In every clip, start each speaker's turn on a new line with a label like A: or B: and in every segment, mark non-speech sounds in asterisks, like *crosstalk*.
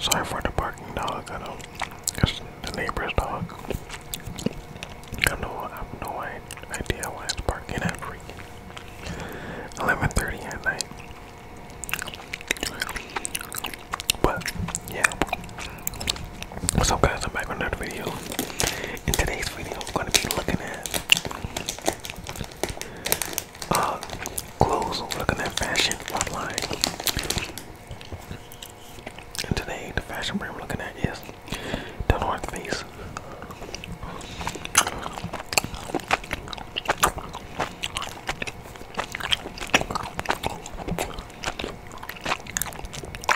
A: Sorry for the barking dog, I know it's the neighbor's dog. I have I have no idea why it's barking at 11:30 at night. But yeah. What's guys, I'm back on another video. In today's video I'm gonna be looking at uh, clothes, looking at fashion online. And today the fashion brand I'm looking at is the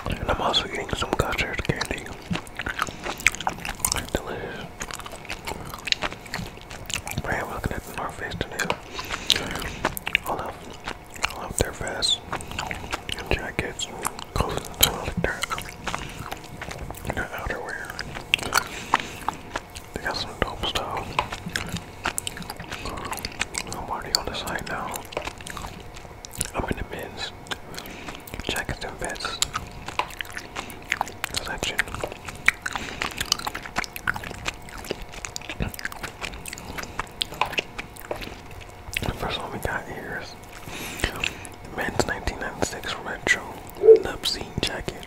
A: and I'm also eating some custard candy. Delicious. Man, looking at North Face today. I love, I love their vests jackets clothes their outerwear. They got some dope stuff. I'm already on the side now. I'm in the bins. Checking some vets. Selection. The first one we got here is Men's 1996 Retro Nupsine Jacket.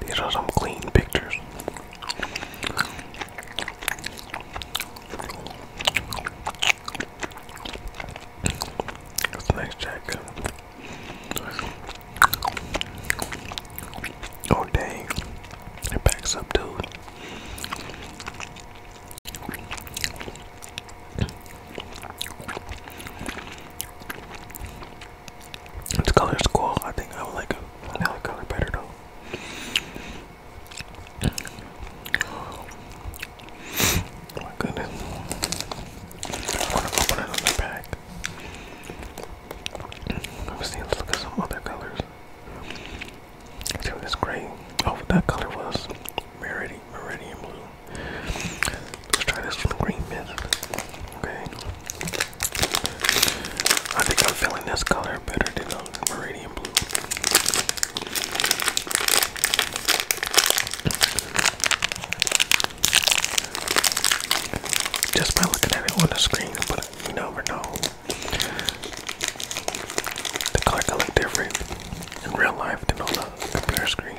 A: These are some clean pictures. That's nice Oh dang. It backs up dude. This color's cool. I think I would like a vanilla color better though. Oh my goodness. I want another pack. Let's see, let's look at some other colors. let this gray. Oh, that color was Meridian, Blue. Let's try this green mint. Okay. I think I'm feeling this color better than the um, meridian blue. Just by looking at it on the screen, but you never know. The color can look different in real life than on the computer screen.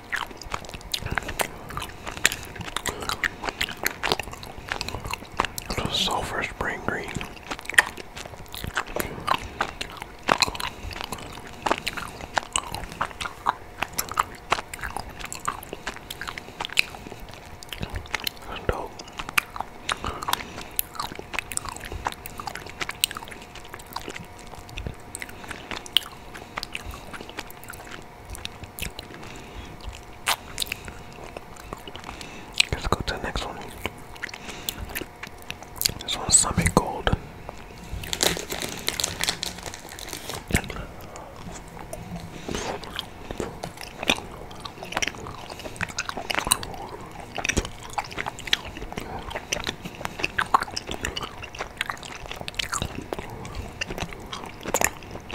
A: The sulfur spring green. That's dope. Let's go to the next one. This one's Summit Gold.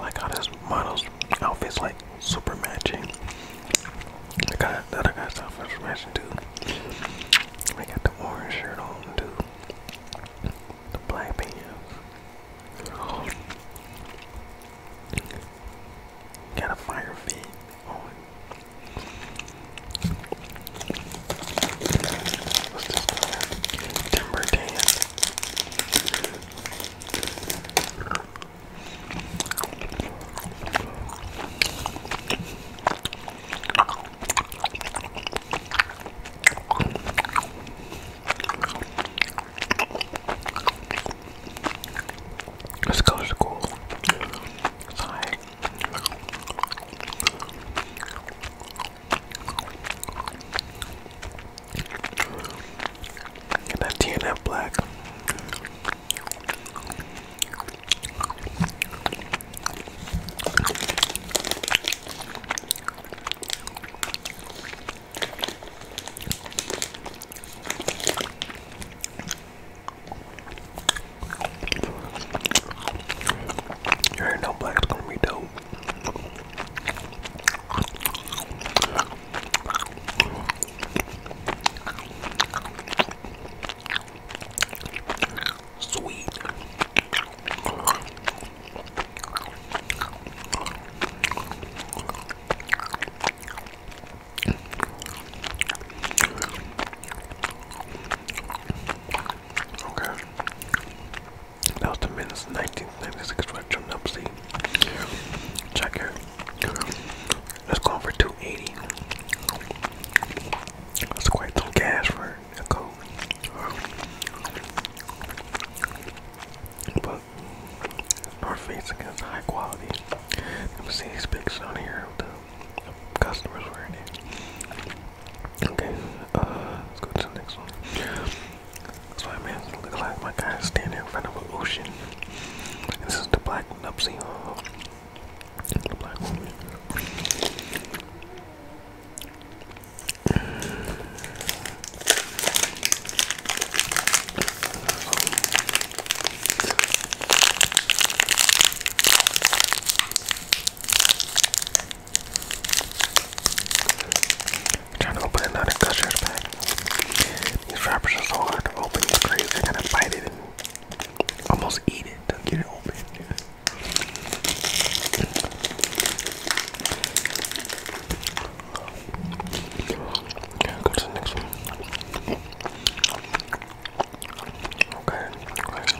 A: I got how this model's outfit's like super matching. I got the other guy's outfit's matching too. We got the orange shirt on too. The black pants. Got a fire feed on. What's this called? Timber tan. cool. Get that TNF black. You already black, black's gonna be dope. Sweet. Okay. That was the 1996 Retro Nupsy. Check here. That's going for 280. That's quite some cash for a But North Face against high quality. Let me see these pics on here of the customers wearing it. Okay, uh, let's go to the next one. That's why man looks like my guy standing in front of an ocean. this is the black Nupsy, uh, the black woman. Trying to open another custard bag. These wrappers are so hard to open. It's crazy. I gotta bite it almost eat it to get it open. Okay, okay.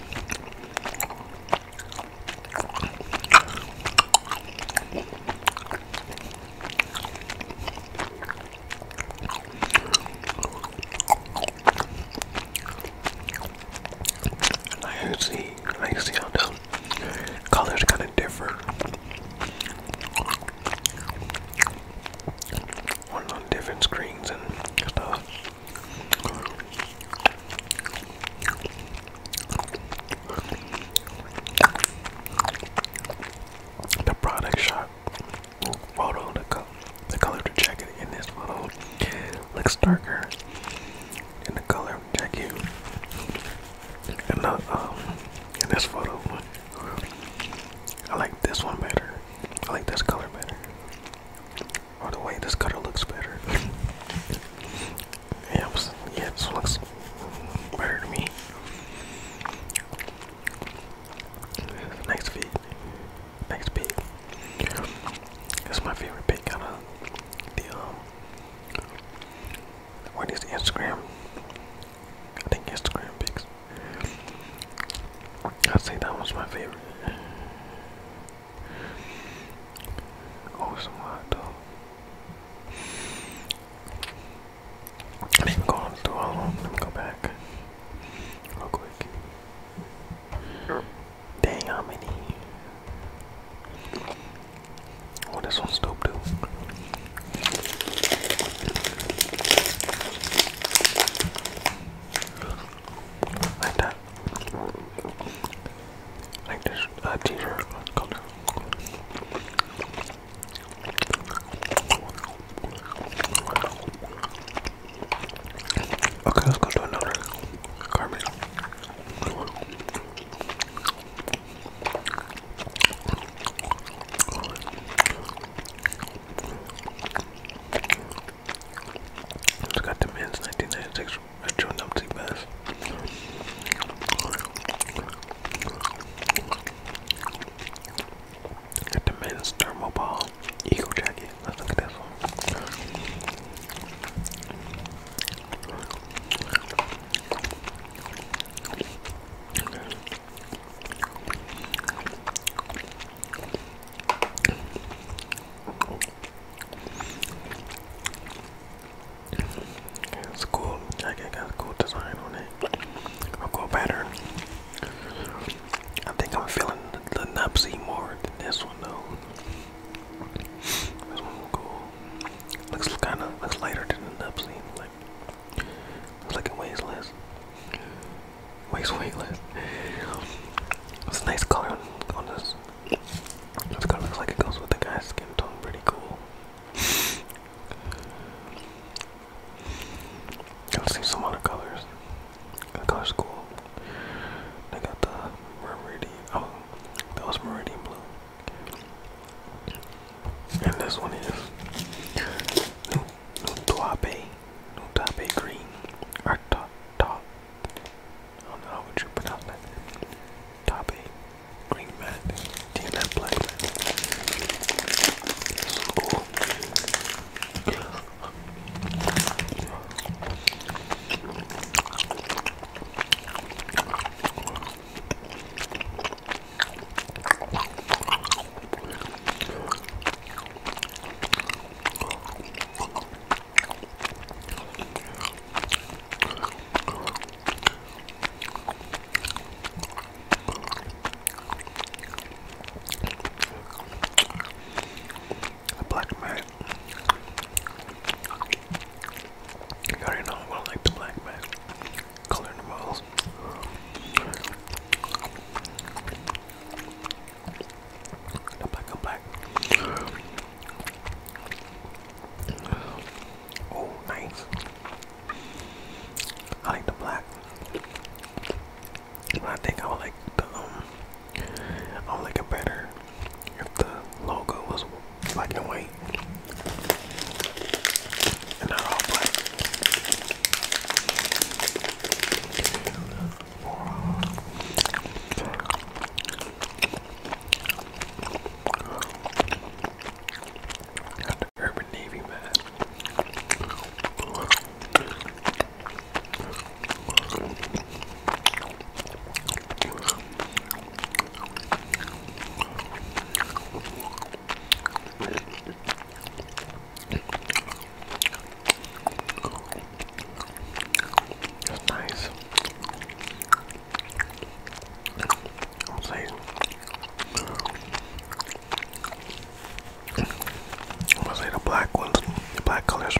A: I see, I see how the colors kind of differ. On, on different screens and stuff. The product shot photo, the color, the color of the jacket in this photo looks darker than the color of the jacket the, uh, um, in this photo. I like this one better. I like this color better. By oh, the way this cutter looks better. *laughs* yeah, it this looks better to me. Next feed. Next pick. That's my favorite pick out of the um, what is the Instagram? I think Instagram picks. I'd say that was my favorite. Oh, some hot dog. Let me go through all go back real quick. Dang, how Oh, this one's dope, too. Like that. Like this uh, t-shirt, Okay, let's go to another garment. It's got the men's 1996 retro numpty mask. Got the men's thermal ball jacket. look at this one. It's cool jacket, got a cool design on it. cool pattern. I think I'm feeling the, napsy more than this one though. This one's cool. Looks kinda lighter than the napsy. Like looks like it weighs less. Weighs weightless. It's a nice color on this this kind of looks like it goes with the guy's skin tone pretty cool. Let's see some other colors. That color's cool. They got the meridian. Oh, that was meridian blue. And this one is Nutuape, Nutape green, or top, Oh, I don't know how you pronounce that. Top A, Green Mat, TNF Black cool. A black man. You already know I like the black man. Color in the walls. Come back, come back. Oh, nice. I like the black. I think I would like the um. I would like it better if the logo was black and white and not all black. Got the Urban Navy man. It's nice. I'm saying, I'm say the black ones, the black colors,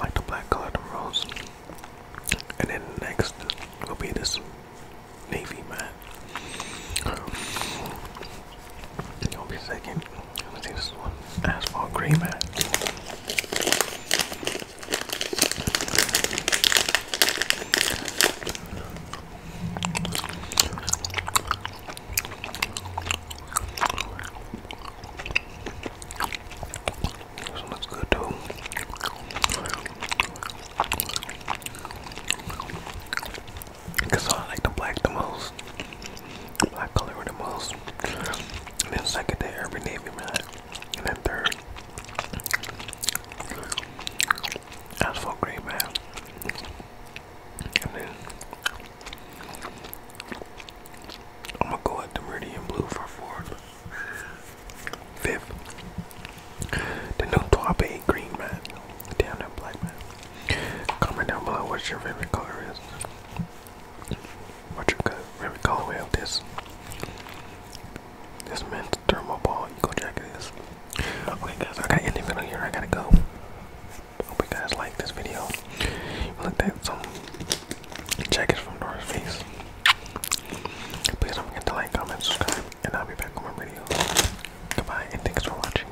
A: like the black color, the rose. And then next will be this navy man. It'll be second. Let's see this one. Asphalt gray matte. This one looks good too. Cause I like the black the most. Black color the most. And then second day, every Navy man. And then third, that's Green Man. And then I'm gonna go with the Meridian Blue for fourth, fifth. The new Twab Green Man. Damn that black man. Comment down below what your favorite color is. What you could We call well this this men's thermal ball eco jacket is. Okay guys, I gotta end the video here, I gotta go. Hope you guys like this video. We looked at some jackets from North Face. Please don't forget to like, comment, subscribe, and I'll be back with more videos. Goodbye and thanks for watching.